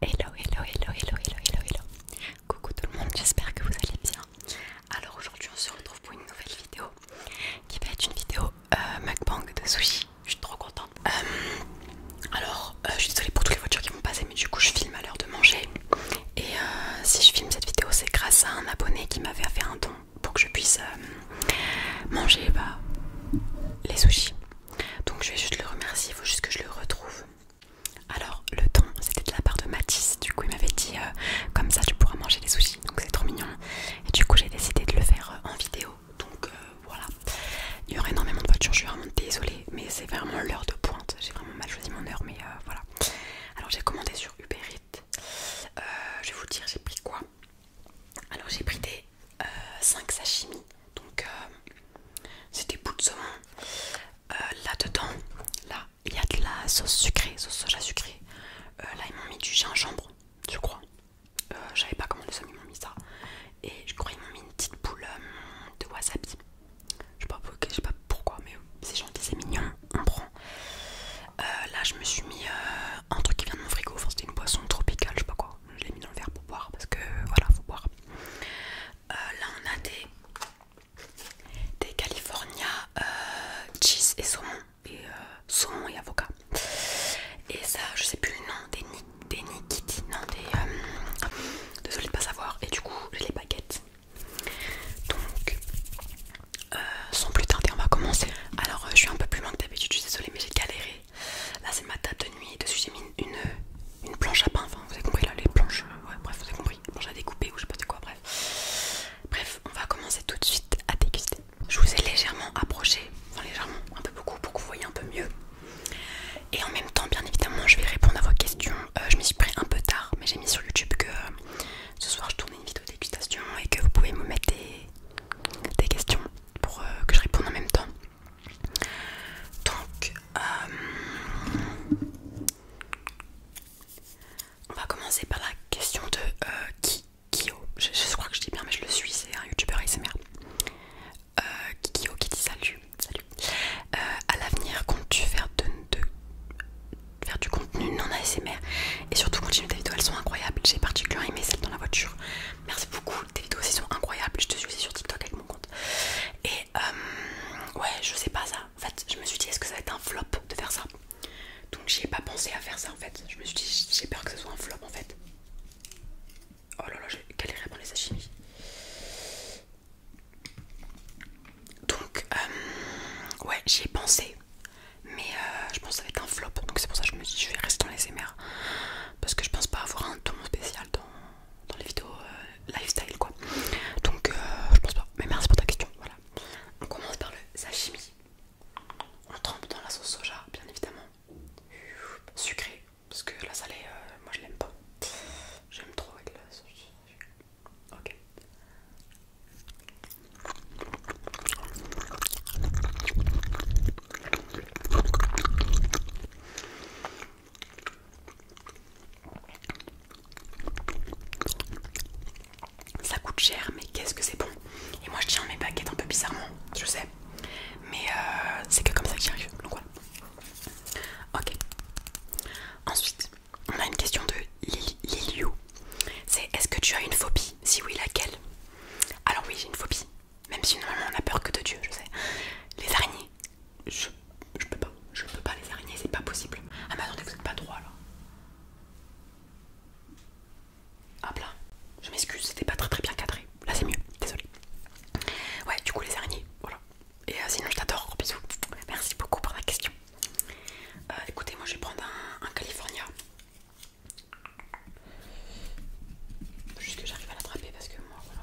Hello, hello, hello, hello, hello, hello, hello. Coucou tout le monde, j'espère que vous allez bien. Alors aujourd'hui, on se retrouve pour une nouvelle vidéo qui va être une vidéo euh, de sushi. Je suis trop contente. Euh, alors, euh, je suis désolée pour toutes les voitures qui vont passer, mais du coup, je filme à l'heure de manger. Et euh, si je filme cette vidéo, c'est grâce à un abonné qui m'avait fait un don pour que je puisse manger bah, les sushis. Donc je vais juste le remercier, il faut juste que je le retrouve. Alors le temps c'était de la part de Matisse, du coup il m'avait dit euh, comme ça tu pourras manger des sushis, donc c'est trop mignon. Et du coup j'ai décidé de le faire euh, en vidéo, donc euh, voilà. Il y aura énormément de voitures, je suis vraiment désolée, mais c'est vraiment l'heure de pointe. J'ai vraiment mal choisi mon heure, mais voilà. Alors j'ai commandé sur Uber Eats, je vais vous dire j'ai pris quoi. Alors j'ai pris des 5 sashimi, donc c'est des bouts de saumon. Euh, là-dedans, là, il y a de la sauce sucrée, sauce soja sucrée. Euh, là, ils m'ont mis du gingembre, je crois. j'avais euh, je savais pas comment ils m'ont mis ça. Et je crois qu'ils m'ont mis une petite boule de wasabi. Je sais pas, sais pas pourquoi, mais c'est gentil, c'est mignon, on prend. là, je me suis mis un truc qui vient de mon frigo. Enfin, c'était une boisson tropicale, je sais pas quoi. Je l'ai mis dans le verre pour boire parce que voilà, faut boire. Euh, là on a des, des California euh, cheese et saumon et euh, saumon et avocat et ça je sais plus le nom des, ni, non des désolée de pas savoir et du coup j'ai les baguettes donc sans plus tarder on va commencer alors je suis un peu plus manque que d'habitude je suis désolée mais j'ai galéré Là, c'est ma table de nuit. Dessus, j'ai mis une, planche à pain. Enfin, vous avez compris là, les planches. Euh, ouais, bref, vous avez compris. Planche à découper ou je sais pas c'est quoi, bref. Bref, on va commencer tout de suite à déguster. Je vous ai légèrement approché, enfin légèrement, un peu beaucoup pour que vous voyez un peu mieux. Et en même temps, bien évidemment, je vais répondre à vos questions. Euh, je m'y suis pris un peu tard, mais j'ai mis sur YouTube que euh, ce soir je tournais une vidéo dégustation et que vous pouvez me mettre des, questions pour que je réponde en même temps. Donc, euh, on va commencer par la question de euh, Kikio, je, crois que je dis bien mais je le suis, c'est un youtuber ASMR euh, Kikio qui dit salut, salut À l'avenir comptes-tu faire, faire du contenu non ASMR Et surtout continue tes vidéos, elles sont incroyables J'ai particulièrement aimé celle dans la voiture Merci beaucoup, tes vidéos aussi sont incroyables Je te suis sur TikTok, moi compte. Et euh, ouais, je sais pas ça. En fait, je me suis dit, est-ce que ça va être un flop de faire ça Donc j'ai ai pas pensé à faire ça en fait. Je me suis dit, j'ai peur que ce soit un flop en fait. Oh là là, j'ai galéré par les sashimi. Donc, euh, ouais, j'y ai pensé. Mais euh, je pense que ça va être un flop. Donc c'est pour ça que je me dit je vais rester dans les émers. Parce que je pense pas avoir un ton spécial dans dans les vidéos euh, lifestyle quoi. Donc euh, je pense pas. Mais merci pour ta question. Voilà. On commence par le sashimi. On trempe dans la sauce soja, bien évidemment. Sucré, parce que la salée, euh, moi je l'aime pas. J'aime trop avec la sauce. Ok. Ça coûte cher, mais qu'est-ce que c'est bon! Et moi je tiens mes baguettes un peu bizarrement, je sais, mais euh, c'est que comme ça que j'y arrive. Donc voilà. Ok. Ensuite, on a une question de Liliou. C'est est-ce que tu as une phobie? Si oui, laquelle? Alors oui, j'ai une phobie. Même si normalement on a peur que de Dieu, je sais. Les araignées, je, peux pas. Je peux pas les araignées, c'est pas possible. Ah mais attendez, vous êtes pas droit là. Hop là, je m'excuse, c'était pas très très bien cadré. Là c'est mieux, désolé. Ouais, du coup les araignées, voilà. Et euh, sinon je t'adore, gros bisous. Merci beaucoup pour la question. Euh, écoutez, moi je vais prendre un, un California. Juste que j'arrive à l'attraper parce que moi voilà.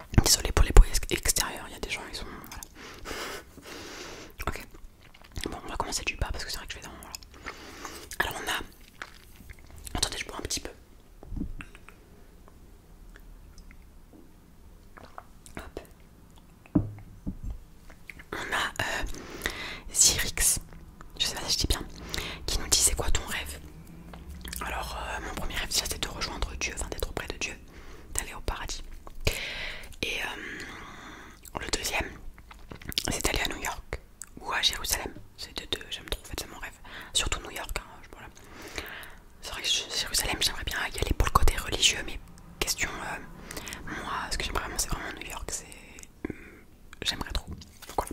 Désolé pour les bruits extérieurs, il y a des gens, ils sont. ok. Bon, on va commencer du bas parce que c'est vrai que je vais dans. Alors, on a. Attendez, je bois un petit peu. Hop. On a euh, Zyrix, je sais pas si je dis bien, qui nous dit c'est quoi ton rêve Alors, euh, mon premier rêve, c'est de rejoindre Dieu, enfin d'être auprès de Dieu d'aller au paradis. Et euh, le deuxième, c'est d'aller à New York ou à Jérusalem. C'est deux, deux j'aime trop, en fait, c'est mon rêve. Surtout New York, hein, C'est vrai que Jérusalem, j'aimerais bien y aller pour le côté religieux, mais question, euh, moi, ce que j'aimerais vraiment, c'est vraiment New York, c'est. Hmm, j'aimerais trop. Donc voilà.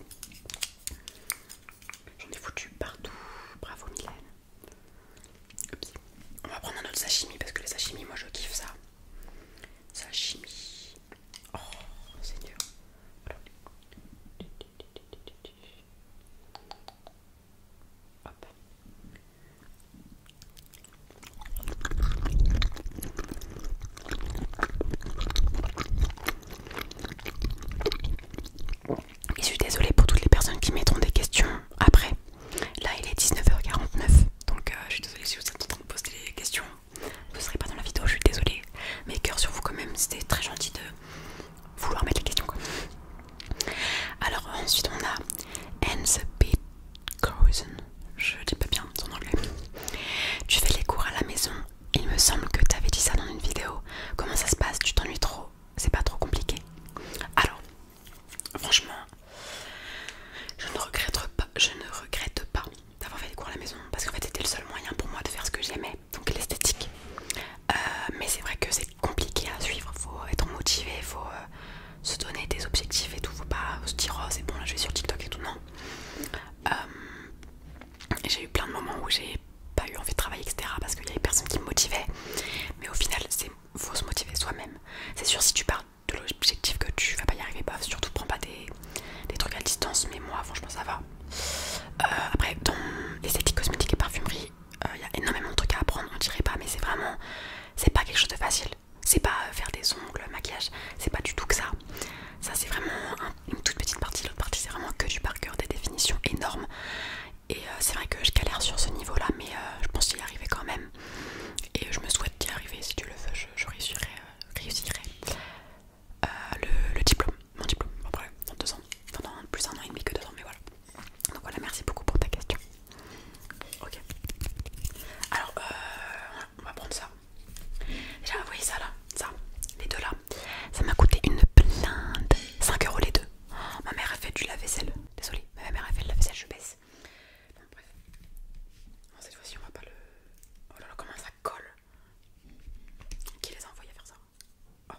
J'en ai foutu partout. Bravo, Mylène. On va prendre un autre sashimi parce que les sashimi, moi je kiffe ça. Sashimi. Oh, c'est dur. Et je suis désolée pour toutes les personnes qui mettront des questions après. Là, il est 19h49, donc euh, je suis désolée si vous êtes en train de poser des questions. Vous ne serez pas dans la vidéo, je suis désolée. Mais cœur sur vous quand même, c'était très gentil de vouloir mettre les questions. Alors ensuite on a Hans Bitkhausen, je dis pas bien son anglais. Tu fais les cours à la maison, il me semble que tu avais dit ça dans une vidéo. Comment ça se passe Tu t'ennuies trop C'est pas trop compliqué Alors, Franchement, je ne regrette pas, je ne regrette pas d'avoir fait des cours à la maison parce que c'était le seul moyen pour moi de faire ce que j'aimais, donc l'esthétique. Euh, mais c'est vrai que c'est compliqué à suivre, faut être motivé, faut euh, se donner des objectifs et tout, faut pas se dire oh, c'est bon là je vais sur TikTok et tout, non. Euh, j'ai eu plein de moments où j'ai pas eu envie de travailler etc parce qu'il y avait personne qui me motivait mais au final c'est faut se motiver soi-même. C'est sûr, si tu pars de l'objectif que tu vas pas y arriver, pas surtout prends pas des, des trucs à distance, mais moi franchement ça va. Euh, après, dans esthétiques, cosmétiques et parfumerie, il euh, y a énormément de trucs à apprendre, on dirait pas, mais c'est vraiment, c'est pas quelque chose de facile. C'est pas euh, faire des ongles, maquillage, c'est pas du tout que ça. Ça c'est vraiment une toute petite partie, l'autre partie c'est vraiment que du par des définitions énormes. Et euh, c'est vrai que je galère sur ce niveau là, mais euh, je pense y arriver quand même. Et je me souhaite d'y arriver, si tu le veux je, réussirai, euh, le, diplôme, mon diplôme, après, dans deux ans, pendant plus un an et demi que deux ans, mais voilà. Donc voilà, merci beaucoup pour ta question. Ok. Alors, on va prendre ça. Déjà, vous voyez ça là, ça, les deux là. Ça m'a coûté une blinde, 5 euros les deux. Oh, ma mère a fait du lave-vaisselle, désolée ma mère a fait la vaisselle, je baisse. Bon, bref. cette fois-ci, on va pas le. Oh là là, comment ça colle Qui les a envoyés faire ça oh.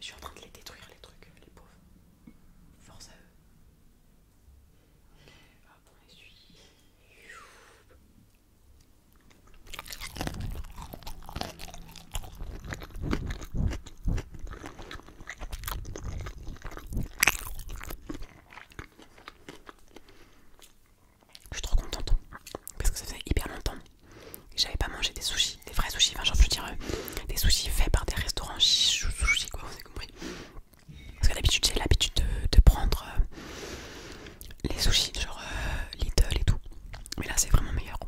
Je suis en train de les détruire, les trucs, les pauvres. Force à eux. Hop, on essuie. Je suis trop contente parce que ça faisait hyper longtemps que j'avais pas mangé des sushis, des vrais sushis, enfin genre je veux dire euh, des sushis faits par des restaurants sushis quoi, vous avez compris. Parce que d'habitude j'ai l'habitude de, prendre euh, les sushis genre euh, et tout, mais là c'est vraiment meilleur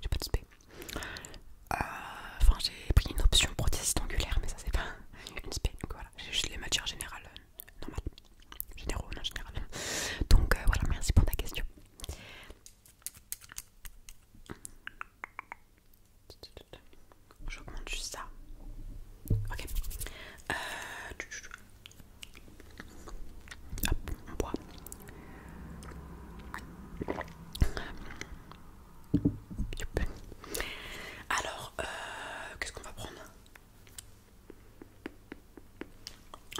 j'ai pas de spé. Euh, enfin, j'ai pris une option prothèse angulaire, mais ça c'est pas une spé. Donc voilà, j'ai juste les matières générales, normal. Euh, normales, généraux, non générales. Donc euh, voilà, merci pour ta question. J'augmente juste ça. Ok. Euh on boit. Alors, euh, qu'est-ce qu'on va prendre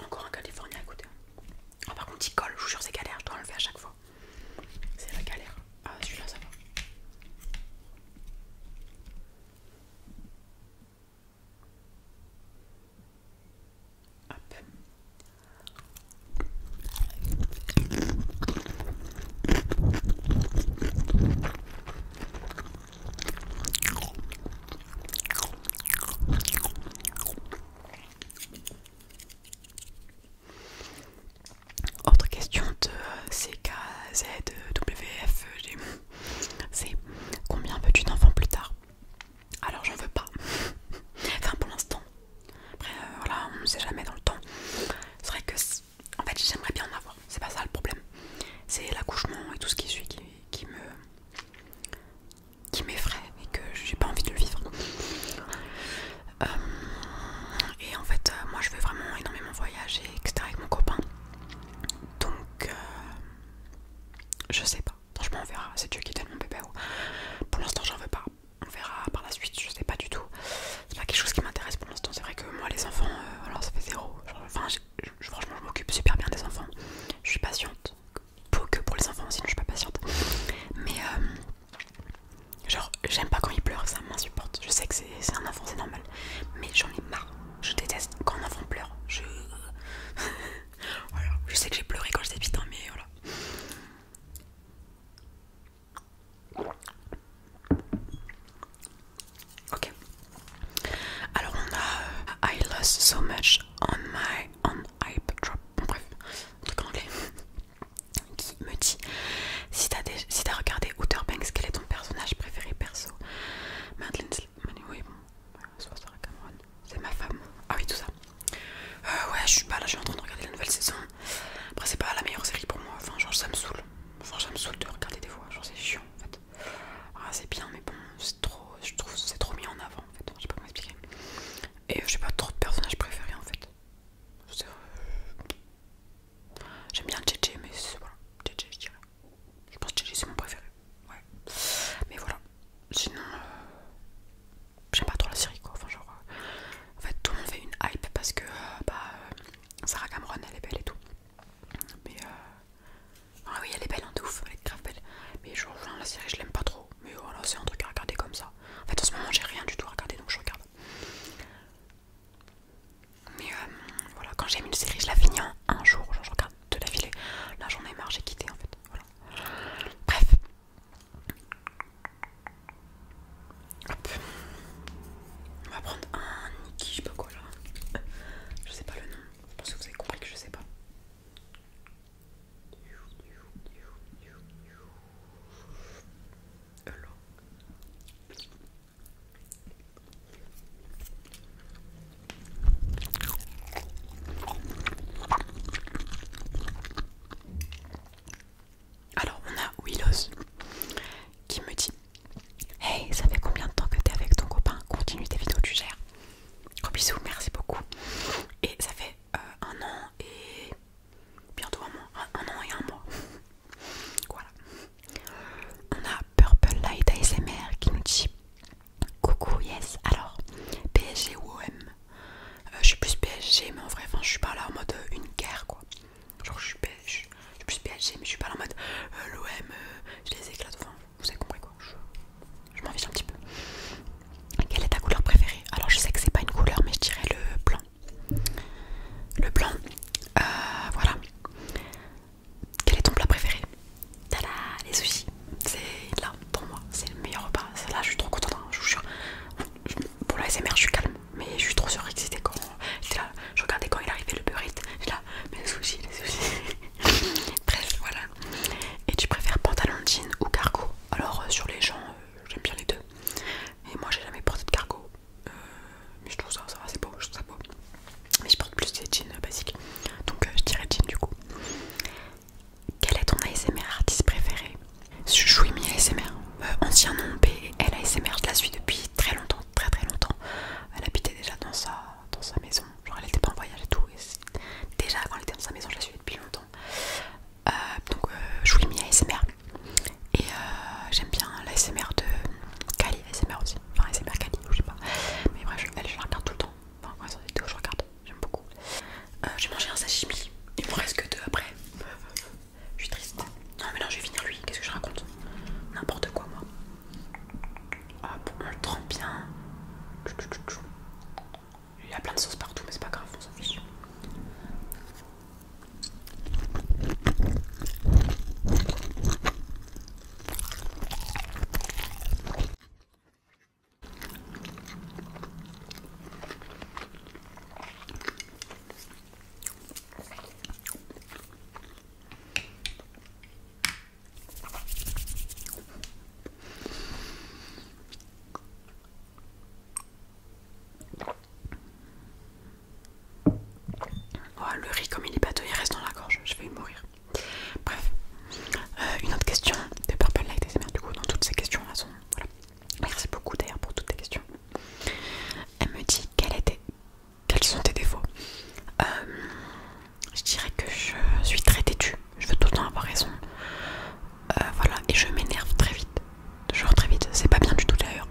Encore un Californien à ah, par contre, il colle, je vous jure, c'est galère, je dois enlever à chaque fois. C'est la galère. Ah, celui-là, ça va. Autre question de CKZWFG, c'est combien veux-tu d'enfants plus tard alors j'en veux pas. enfin pour l'instant. Après euh, on ne sait jamais dans le temps. C'est vrai que en fait j'aimerais bien en avoir. C'est pas ça le problème. C'est l'accouchement et tout ce qui suit qui, me qui m'effraie et que j'ai pas envie de le vivre. Euh, et en fait euh, moi je veux vraiment énormément voyager, etc. avec mon copain. Donc je sais pas. Franchement, on verra. C'est Dieu qui donne mon bébé. Pour l'instant, j'en veux pas. On verra par la suite. Je sais pas du tout. C'est pas quelque chose qui m'intéresse pour l'instant. C'est vrai que moi, les enfants, alors euh, ça fait zéro. franchement, je m'occupe super bien des enfants. Je suis patiente. Pour, que pour les enfants, sinon je suis pas patiente. Mais euh, genre, j'aime pas quand ils pleurent. Ça m'insupporte. Je sais que c'est un enfant, c'est normal. Mais j'en ai marre. Je déteste quand un enfant pleure. Je voilà, je sais que j'ai pleuré quand j'étais petite, hein, mais voilà. Ok. Alors on a euh, I lost so much on my on hype drop. bref, truc anglais qui me dit si t'as regardé Outer Banks, quel est ton personnage préféré perso Madeleine, oui bon, soit Sarah Cameron. C'est ma femme. Ah oui, tout ça. Euh, ouais, je suis pas là, je suis en train de regarder la nouvelle saison. Après, c'est pas la meilleure série pour moi. Enfin, genre, ça me saoule. Enfin, ça me saoule de regarder des fois. Genre, c'est chiant en fait. Ah, c'est bien, mais bon, c'est trop. Je trouve c'est trop mis en avant en fait. Je sais pas comment expliquer. Et euh, j'ai pas trop de personnages préférés en fait. J'aime bien JJ, mais voilà. JJ, je dirais. Je pense que JJ c'est mon préféré. Ouais. Mais voilà. Sinon, euh, j'aime pas trop la série quoi. Enfin, genre, euh, en fait, tout le monde fait une hype parce que euh, bah, euh, Sarah Cameron elle est belle et tout. Mais euh, ah oui, elle est belle, en hein, de ouf, elle est grave belle. Mais genre, la série je l'aime pas trop. Mais voilà, c'est un truc à regarder comme ça. En fait, en ce moment j'ai rien du tout à regarder donc je regarde. Mais voilà, quand j'aime une série, je la finis en un jour. Genre, je regarde de la filer. Là, j'en ai marre, j'ai quitté en fait. Bref, on va prendre un qui je sais pas quoi là. Je sais pas le nom. Je pense que vous avez compris que je sais pas. Alors on a Willows qui me dit Hey, ça fait combien de temps que t'es avec ton copain Continue tes vidéos, tu gères. Gros bisous, merci beaucoup. Et ça fait euh, un an et bientôt un mois. Un, an et un mois. voilà. On a Purple Light ASMR qui nous dit Coucou, yes. Alors, PSG ou OM euh, je suis plus PSG, mais en vrai, enfin, je suis pas là en mode euh, une guerre quoi. Genre, je suis, plus PSG, mais je suis pas là en mode euh, l'OM, je les éclate. Enfin, vous avez compris quoi. Je, m'en fiche un petit peu. Quelle est ta couleur préférée Alors, je sais que c'est pas une couleur, mais je dirais le blanc. Le blanc, voilà. Quel est ton plat préféré Tada, les sushis. C'est là, pour moi, c'est le meilleur repas. Là, je suis trop contente, hein, je vous jure. Pour la SMR, je suis calme, mais je suis trop c'était quand. J'étais là, je regardais quand il arrivait le burrito, j'étais là, mais les soucis, les soucis. Bref, voilà. Et tu préfères pantalon jean ou cargo Alors, euh, sur les gens, euh, j'aime bien les deux. Et moi, j'ai jamais porté de cargo. Euh, mais je trouve ça, ça va, c'est beau, je trouve ça beau. Mais je porte plus des jeans basiques. Donc, je dirais jean du coup. Quel est ton ASMR artiste préféré Je suis ASMR, euh, ancien nom B, elle ASMR, je la suis depuis très longtemps, très très longtemps. Elle habitait déjà dans sa, dans sa maison, genre elle était pas en voyage et tout. Et déjà quand elle était dans sa maison, je la suis depuis longtemps. Euh, donc euh, je ASMR. Et euh, j'aime bien l'ASMR de Kali, ASMR aussi, enfin ASMR Kali, je sais pas. Mais bref, je, la regarde tout le temps. Enfin, quand elle sort je regarde j'aime beaucoup. Euh, j'ai mangé un sashimi, il me reste que deux après. je suis triste. Non, mais non, je vais finir lui, qu'est-ce que je raconte N'importe quoi, moi. Ah, on le trempe bien. Il y a plein de sauce partout, mais c'est pas grave, on s'en Oh, le riz comme il est bateau, il reste dans la gorge, je vais mourir. Bref, euh, une autre question de Purple Light du coup dans toutes ces questions là sont Merci beaucoup d'ailleurs pour toutes tes questions. Elle me dit était, quels sont tes défauts. Euh, je dirais que je suis très têtue. Je veux tout le temps avoir raison. Euh, voilà, et je m'énerve très vite. Toujours très vite, c'est pas bien du tout d'ailleurs.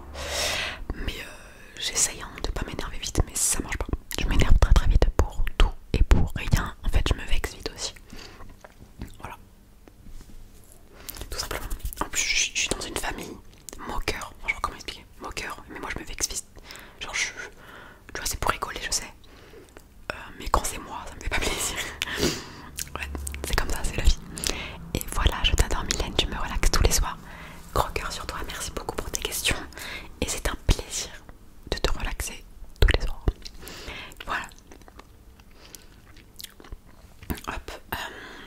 Mais euh, j'essaye hein, de pas m'énerver vite, mais ça marche pas. Je m'énerve très très vite pour tout et pour rien. En fait, je me vexe vite aussi. Voilà, tout simplement. En plus, je, suis dans une famille moqueur. Genre, comment expliquer Moqueur. Mais moi, je me vexe Genre, je, vois, c'est pour rigoler, je sais. Euh, mais quand c'est moi, ça me fait pas plaisir. ouais, c'est comme ça, c'est la vie. Et voilà, je t'adore, Mylène. Tu me relaxes tous les soirs. Gros cœur sur toi. Merci beaucoup pour tes questions. Et c'est un plaisir de te relaxer tous les soirs. Voilà, Hop, euh,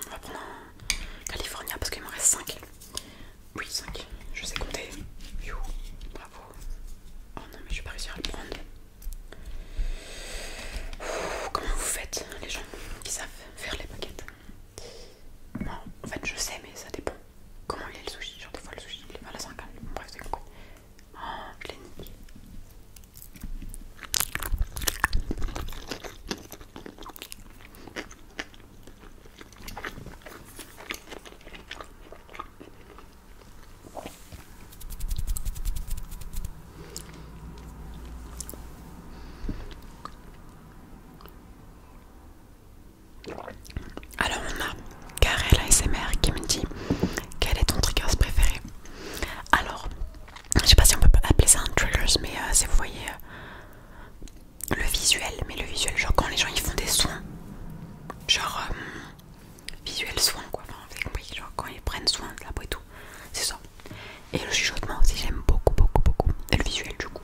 on va prendre un California parce qu'il m'en reste 5. Oui, 5. Je sais compter. You. Bravo. Oh non, mais je vais pas réussir à le prendre. comment vous faites, les gens qui savent faire les paquettes Non, en fait, je sais, mais ça dépend. Comment il est le sushi Genre, des fois, le sushi, il est mal à 5 Bref, c'est cool. Oh, je l'ai Alors on a Karel ASMR qui me dit quel est ton triggers préféré alors, je sais pas si on peut appeler ça un trailer, mais euh, c'est, vous voyez, euh, le visuel. Mais le visuel, genre quand les gens ils font des soins, genre euh, visuel soin quoi, vous avez genre quand ils prennent soin de la peau et tout, c'est ça. Et le chuchotement aussi, j'aime beaucoup, beaucoup, beaucoup. le visuel du coup,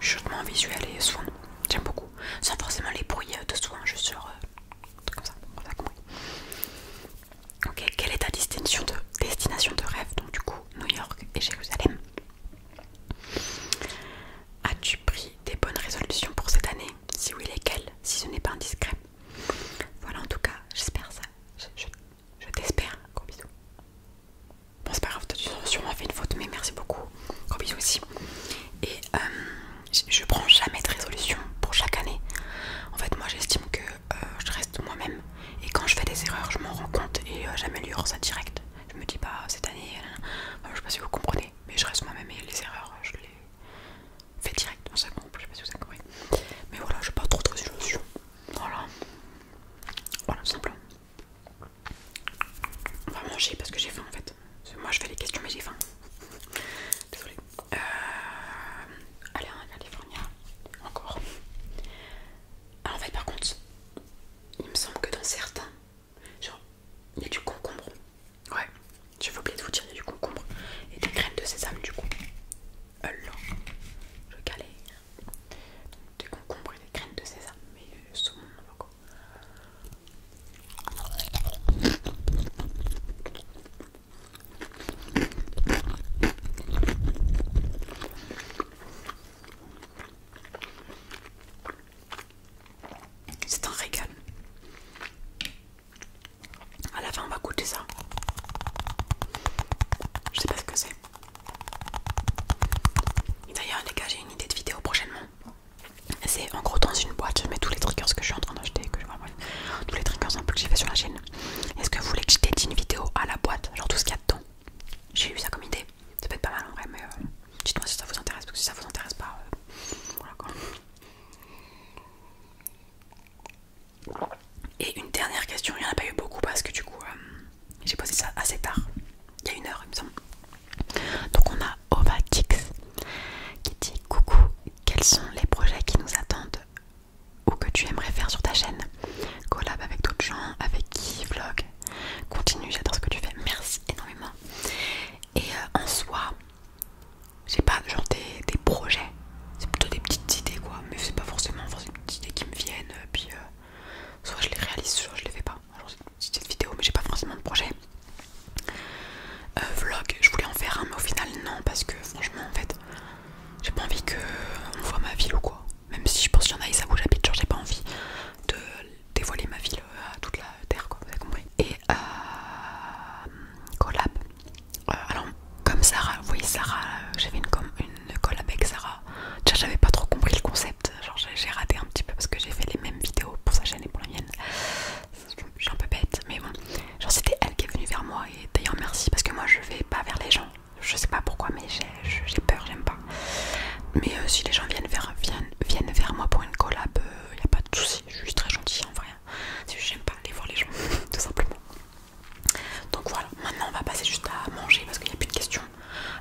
chuchotement visuel et soin, j'aime beaucoup. Sans forcément les bruits de soins, juste sur comme ça, Ok, quelle est ta destination de, destination de rêve Donc du coup, New York et Jérusalem. As-tu pris des bonnes résolutions pour cette année Si oui, lesquelles Si ce n'est pas indiscret. Voilà, en tout cas, j'espère ça. Je, t'espère. Gros bisous. Bon, c'est pas grave, tu as sûrement fait une faute, mais merci beaucoup. Gros bisous aussi. Et euh, je prends jamais de résolution pour chaque année. En fait, moi j'estime que euh, je reste moi-même et quand je fais des erreurs, je m'en rends compte et euh, j'améliore ça direct. Je me dis pas bah, cette année, je euh, je sais pas si vous comprenez, mais je reste moi-même et les erreurs, je les fais direct dans Je sais pas si vous avez mais voilà, je pas trop de résolution. Voilà, voilà, simplement. On va manger parce que j'ai faim en fait. Moi je fais les questions, mais j'ai faim. Désolée. Euh, allez, regarder encore. Ah, en fait, par contre, il me semble que dans certains, genre, il y a du concombre. Ouais, j'ai oublié de vous dire, il y a du concombre et des graines de sésame, du coup. Alors, euh, je galère. Donc, des concombres et des graines de sésame, mais euh, saumon, encore. C'est un régal. À la fin, on va goûter ça. Je sais pas ce que c'est. D'ailleurs, les gars, j'ai une idée de vidéo prochainement. C'est en gros dans une boîte, je mets tous les triggers que je suis en train d'acheter, que je, tous les triggers en peu que j'ai fait sur la chaîne. Est-ce que vous voulez que je dédie une vidéo à la boîte, genre tout ce qu'il y a dedans J'ai eu ça comme idée. Ça peut être pas mal en vrai, mais euh, dites-moi si ça vous intéresse, parce que si ça vous intéresse pas, euh, voilà quoi. Et une dernière question, il n'y en a pas eu beaucoup parce que du coup euh, j'ai posé ça assez tard, il y a une heure il me semble. Donc on a Ova Kix qui dit coucou quels sont les projets qui nous attendent ou que tu aimerais faire sur ta chaîne. Collab avec d'autres gens, avec qui, vlog. Continue, j'adore ce que tu fais. Merci énormément. Et euh, en soi, j'ai pas genre des, projets. C'est plutôt des petites idées quoi. Mais c'est pas forcément enfin, des petites idées qui me viennent. Euh, puis euh, soit je les réalise, soit je les fais pas. c'est une petite vidéo, mais j'ai pas forcément de projet. Euh, vlog, je voulais en faire un, mais au final, non, parce que franchement, en fait, j'ai pas envie qu'on voit ma ville ou quoi. Même si je pense qu'il y en a et ça vous j'habite, genre j'ai pas envie de dévoiler ma ville euh, à toute la terre, quoi, vous avez compris. Et euh, collab. alors, comme Sarah, vous voyez, Sarah, j'avais une, une collab avec Sarah. j'avais pas trop compris le concept, genre j'ai raté un petit peu parce que j'ai fait les mêmes vidéos pour sa chaîne et pour la mienne je suis un peu bête, mais bon. Genre, c'était elle qui est venue vers moi, et d'ailleurs, merci parce que moi je vais pas vers les gens. Je sais pas pourquoi, mais j'ai peur, j'aime pas. Mais euh, si les gens viennent vers, moi pour une collab, il euh, a pas de souci. Je suis très gentille en vrai. J'aime pas aller voir les gens, tout simplement. Donc voilà, maintenant on va passer juste à manger parce qu'il n'y a plus de questions.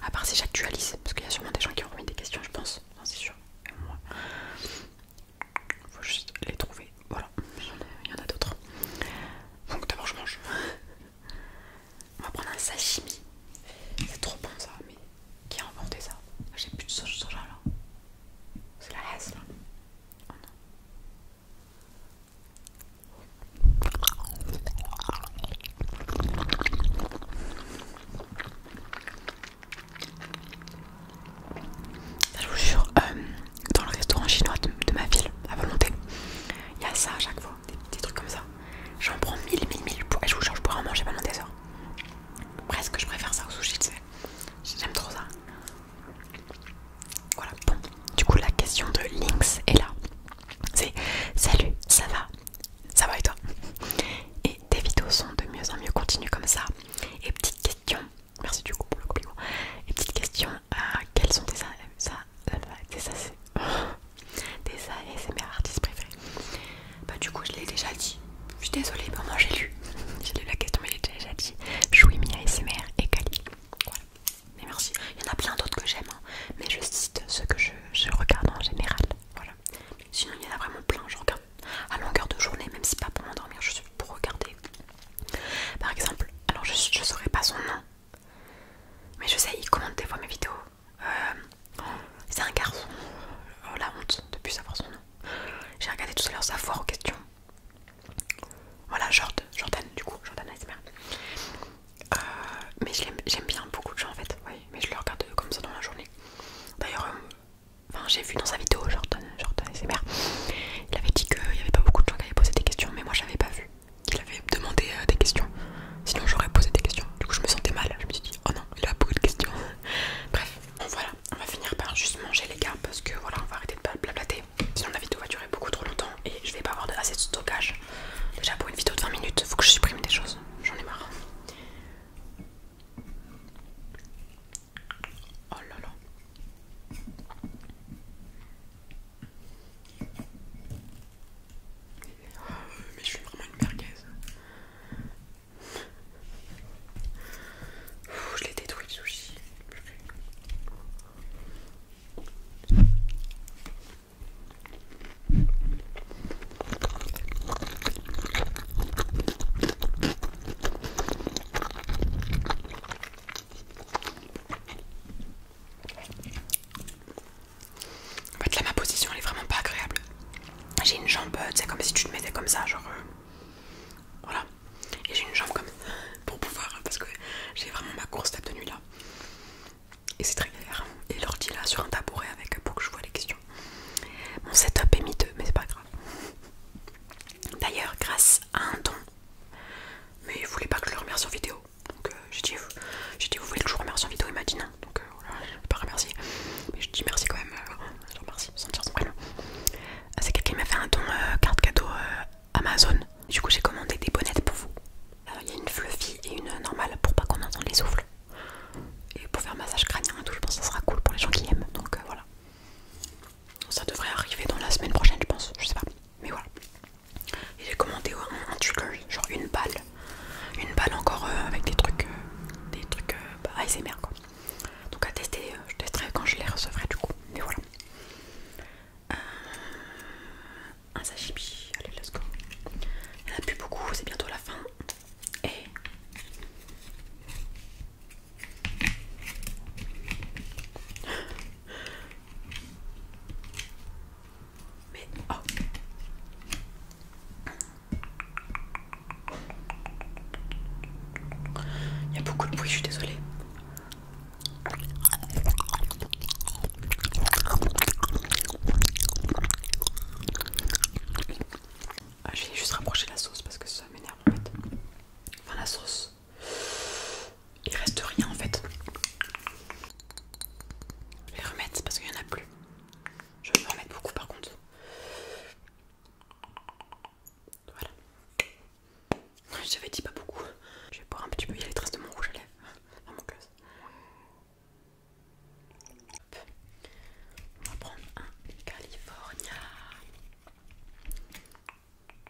À part si j'actualise, parce qu'il y a sûrement des gens qui ont remis des questions, je pense. C'est sûr. Moi faut juste les trouver. Voilà, il y en a, d'autres. Donc d'abord je mange. On va prendre un sashimi. C'est trop bon ça, mais qui a inventé ça J'ai plus de sauce soja là. C'est la S là. Oh non je vous jure, euh, dans le restaurant chinois de, ma ville, à volonté, il y a ça à chaque fois, des, petits trucs comme ça. J'en prends mille, mille, mille, et je vous jure, je pourrais en manger pendant des heures. Presque, je préfère ça au sushi, tu sais. J'aime trop ça. Voilà, bon. Du coup, la question de Lynx est là. C'est Salut, ça va Ça va et toi Et tes vidéos sont de mieux en mieux, continue comme ça. Et petite question Merci du coup pour le compliment. Et petite question, euh, quels sont tes, ça, ça tes, c'est ASMR artistes préférés Bah du coup je l'ai déjà dit. Je suis désolée, mais bah, moi j'ai lu. j'ai lu la question mais l'ai déjà dit. Chouimi ASMR et Kali. Voilà. Mais merci. Il y en a plein d'autres que j'aime, hein. mais je cite ceux que je, je regarde en général. Voilà. Sinon il y en a vraiment plein, je regarde à longueur de journée, même si pas pour m'endormir, je suis pour regarder. Par exemple, alors je ne saurais pas son nom, mais je sais, il commente des fois mes vidéos. Euh, c'est un garçon, euh, la honte de plus savoir son nom. J'ai regardé tout à l'heure sa foire aux questions. Voilà, Jordan, Jordan du coup, Jordan ASMR. Euh, mais j'aime bien beaucoup de gens en fait, oui, mais je le regarde comme ça dans la journée. D'ailleurs, Enfin, j'ai vu dans sa vidéo, Jordan, Jordan mères. il avait dit qu'il n'y avait pas beaucoup de gens qui avaient posé des questions, mais moi j'avais pas vu qu'il avait demandé euh, des questions. Sinon, j'aurais posé des questions. Du coup, je me sentais mal. Je me suis dit, oh non, il a beaucoup de questions. Bref, voilà, on va finir par juste manger les gars parce que voilà, on va arrêter de blablater. Sinon, la vidéo va durer beaucoup trop longtemps et je vais pas avoir assez de stockage. Déjà, pour une vidéo de 20 minutes, faut que je supprime des choses. J'en ai marre. Oh là là. Oh, mais je suis vraiment une merguez. je l'ai détruit le sushi. En fait là ma position elle est vraiment pas agréable. J'ai une jambe, c'est euh, comme si tu te mettais comme ça, genre euh, voilà. Et j'ai une jambe comme pour pouvoir parce que j'ai vraiment ma course table de nuit là. Et c'est très galère. Et l'ordi là sur un tabouret avec pour que je vois les questions. Mon setup est miteux mais c'est pas grave. D'ailleurs, grâce à un don, mais il voulait pas que je le remercie en vidéo. Donc euh, j'ai dit, vous voulez que je vous remercie en vidéo, il m'a dit non. Hein. Donc euh, voilà, je ne vais pas remercier. Mais je dis merci quand même, euh, je remercie, sans dire son ah, C'est quelqu'un qui m'a fait un don carte cadeau Amazon. Du coup, j'ai commandé des bonnettes pour vous. Il y a une fluffy et une normale pour pas qu'on entende les souffles. Et pour faire massage crânien et tout, je pense que ça sera cool pour les gens qui aiment. Donc voilà. Ça devrait arriver dans la semaine prochaine, je pense. Je sais pas. Mais voilà. Et j'ai commandé un, truc trigger, genre une balle. Une balle encore euh, avec des trucs. Euh, des trucs euh, ASMR bah, quoi. Donc à tester, je testerai quand je les recevrai du coup. Mais voilà. un sashimi. Allez, let's go. Il a plus beaucoup, c'est bientôt la fin. Et mais oh. Il y a beaucoup de bruit, je suis désolée. Ah, je vais juste rapprocher la sauce parce que ça m'énerve en fait. Enfin la sauce il reste rien en fait. Je vais les remettre parce qu'il n'y en a plus. Je vais en remettre beaucoup par contre. Voilà. J'avais dit pas beaucoup. Je vais boire un petit peu. Il y a les traces de mon rouge à lèvres On va prendre un California.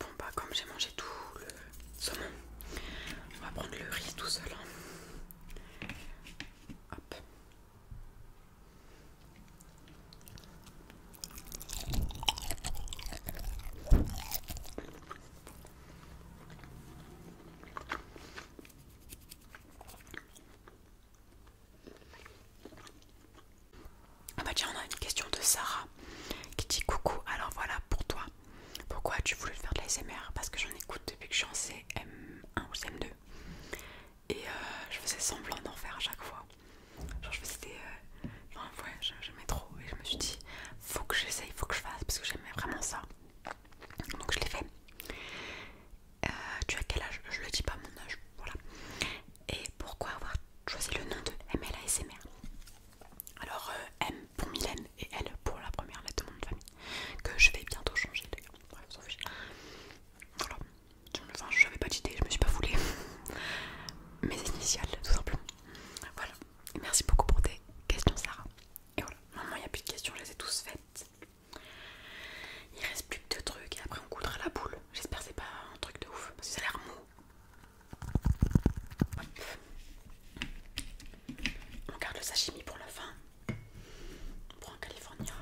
Bon bah comme j'ai mangé tout le saumon, on va prendre le riz tout seul. Hein. Hop. Ah bah tiens on a une question de Sarah qui dit coucou alors voilà pour toi pourquoi as-tu voulu faire de l'ASMR Parce que j'en écoute depuis que je suis en CM1 ou CM2 et euh, je faisais semblant d'en faire à chaque fois. Genre, je faisais des. Euh, enfin, ouais, j'aimais trop et je me suis dit, faut que j'essaye, faut que je fasse parce que j'aimais vraiment ça. Donc, je l'ai fait. Euh, tu as quel âge Je le dis pas mon âge, voilà. Et pourquoi avoir choisi le nom de MLASMR Alors, M pour Mylène et elle pour la première lettre de mon famille que je vais bientôt changer les s'en fiche. Voilà. je n'avais pas d'idée, je me suis pas foulée. Mes initiales, tout simplement. Voilà. Merci beaucoup pour tes questions, Sarah. Et voilà. Maintenant, il n'y a plus de questions, je les ai tous faites. Il reste plus que deux trucs et après on coudra la boule. J'espère que c'est pas un truc de ouf parce que ça a l'air mou. On garde le sashimi pour la fin. pour prend California.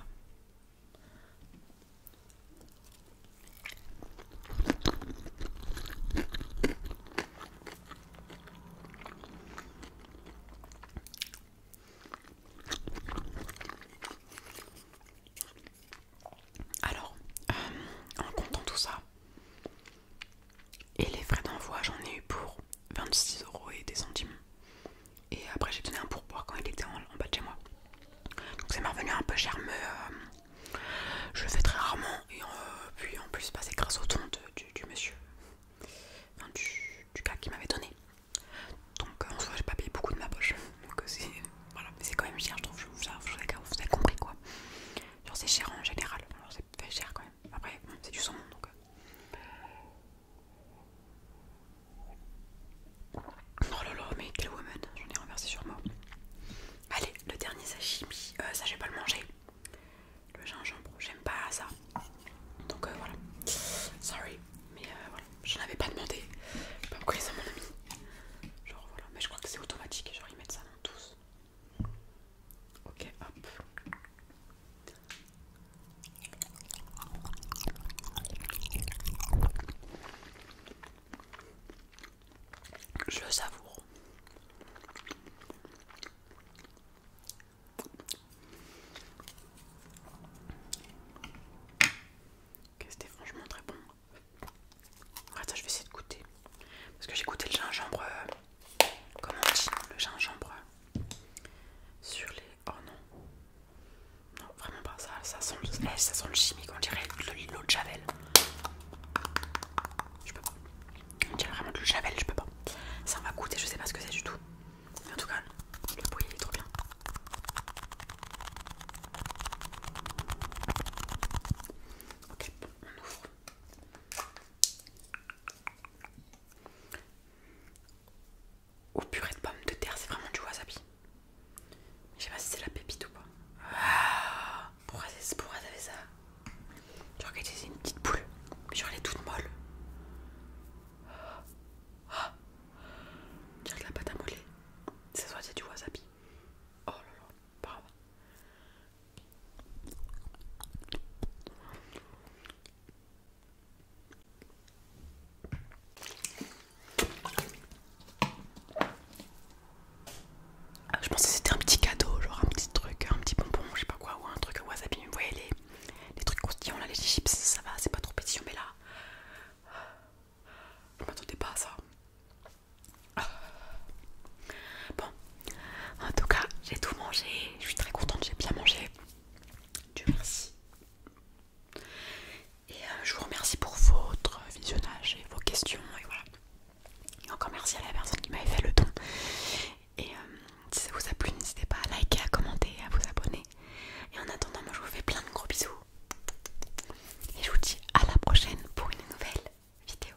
Alors, euh, en comptant tout ça, et les frais d'envoi, j'en ai eu pour 26 euros et des centimes. Et après, j'ai donné un pourboire quand il était en, bas de chez moi. Donc ça m'est revenu un peu cher, mais euh, je le fais très rarement. Et euh, puis en plus, bah, c'est grâce au ton du, monsieur, du, gars qui m'avait donné. Donc euh, en soit j'ai pas payé beaucoup de ma poche. Donc c'est voilà, c'est quand même cher, je trouve. Je, vous avez compris quoi. Genre, c'est cher en général fait cher quand même. Après, c'est du son donc. Euh. Oh là mais quelle woman, j'en ai renversé sur moi. Allez, le dernier sashimi, euh, ça je vais pas le manger. Le gingembre, j'aime pas ça. Donc euh, voilà. Sorry, mais euh, voilà, j'en avais pas demandé. Je pas pourquoi ça à mon ami. Genre voilà, mais je crois que c'est automatique, genre ils mettent ça dans tous. Ok, Je le savoure. Ok C'était franchement très bon. Attends, je vais essayer de goûter. Parce que j'ai goûté le gingembre. Euh, comment on dit Le gingembre sur les. Oh non. Non, vraiment pas. Ça, ça, sent, le... Eh, ça sent le chimique. On dirait l'eau de Javel. Je peux pas. On dirait vraiment de l'eau de Javel. Je peux pas. Ça va goûter. Je sais pas ce que c'est du tout. Mais en tout cas, le bruit est trop bien. Ok, on ouvre. Ou purée de pommes de terre, c'est vraiment du wasabi. Je sais pas si c'est la pépite ou pas. Ah, pourquoi t'avais ça Genre que c'est une petite boule. Genre elle est toute molle. Je dirais que la pâte à mollet C'est soit c'est du wasabi. Oh là là, bravo. Ah, je pensais que c'était un petit cadeau, genre un petit truc, un petit bonbon, je sais pas quoi, ou un truc wasabi. Vous voyez les, les trucs croustillants là, les chips, ça va, c'est pas trop pétillant, mais là. ne m'attendait pas à ça. Bon, en tout cas, j'ai tout mangé. Je suis très contente, j'ai bien mangé. Dieu merci. Et euh, je vous remercie pour votre visionnage et vos questions. Et voilà. Et encore merci à la personne qui m'avait fait le don. Et euh, si ça vous a plu, n'hésitez pas à liker, à commenter, à vous abonner. Et en attendant, moi je vous fais plein de gros bisous. Et je vous dis à la prochaine pour une nouvelle vidéo.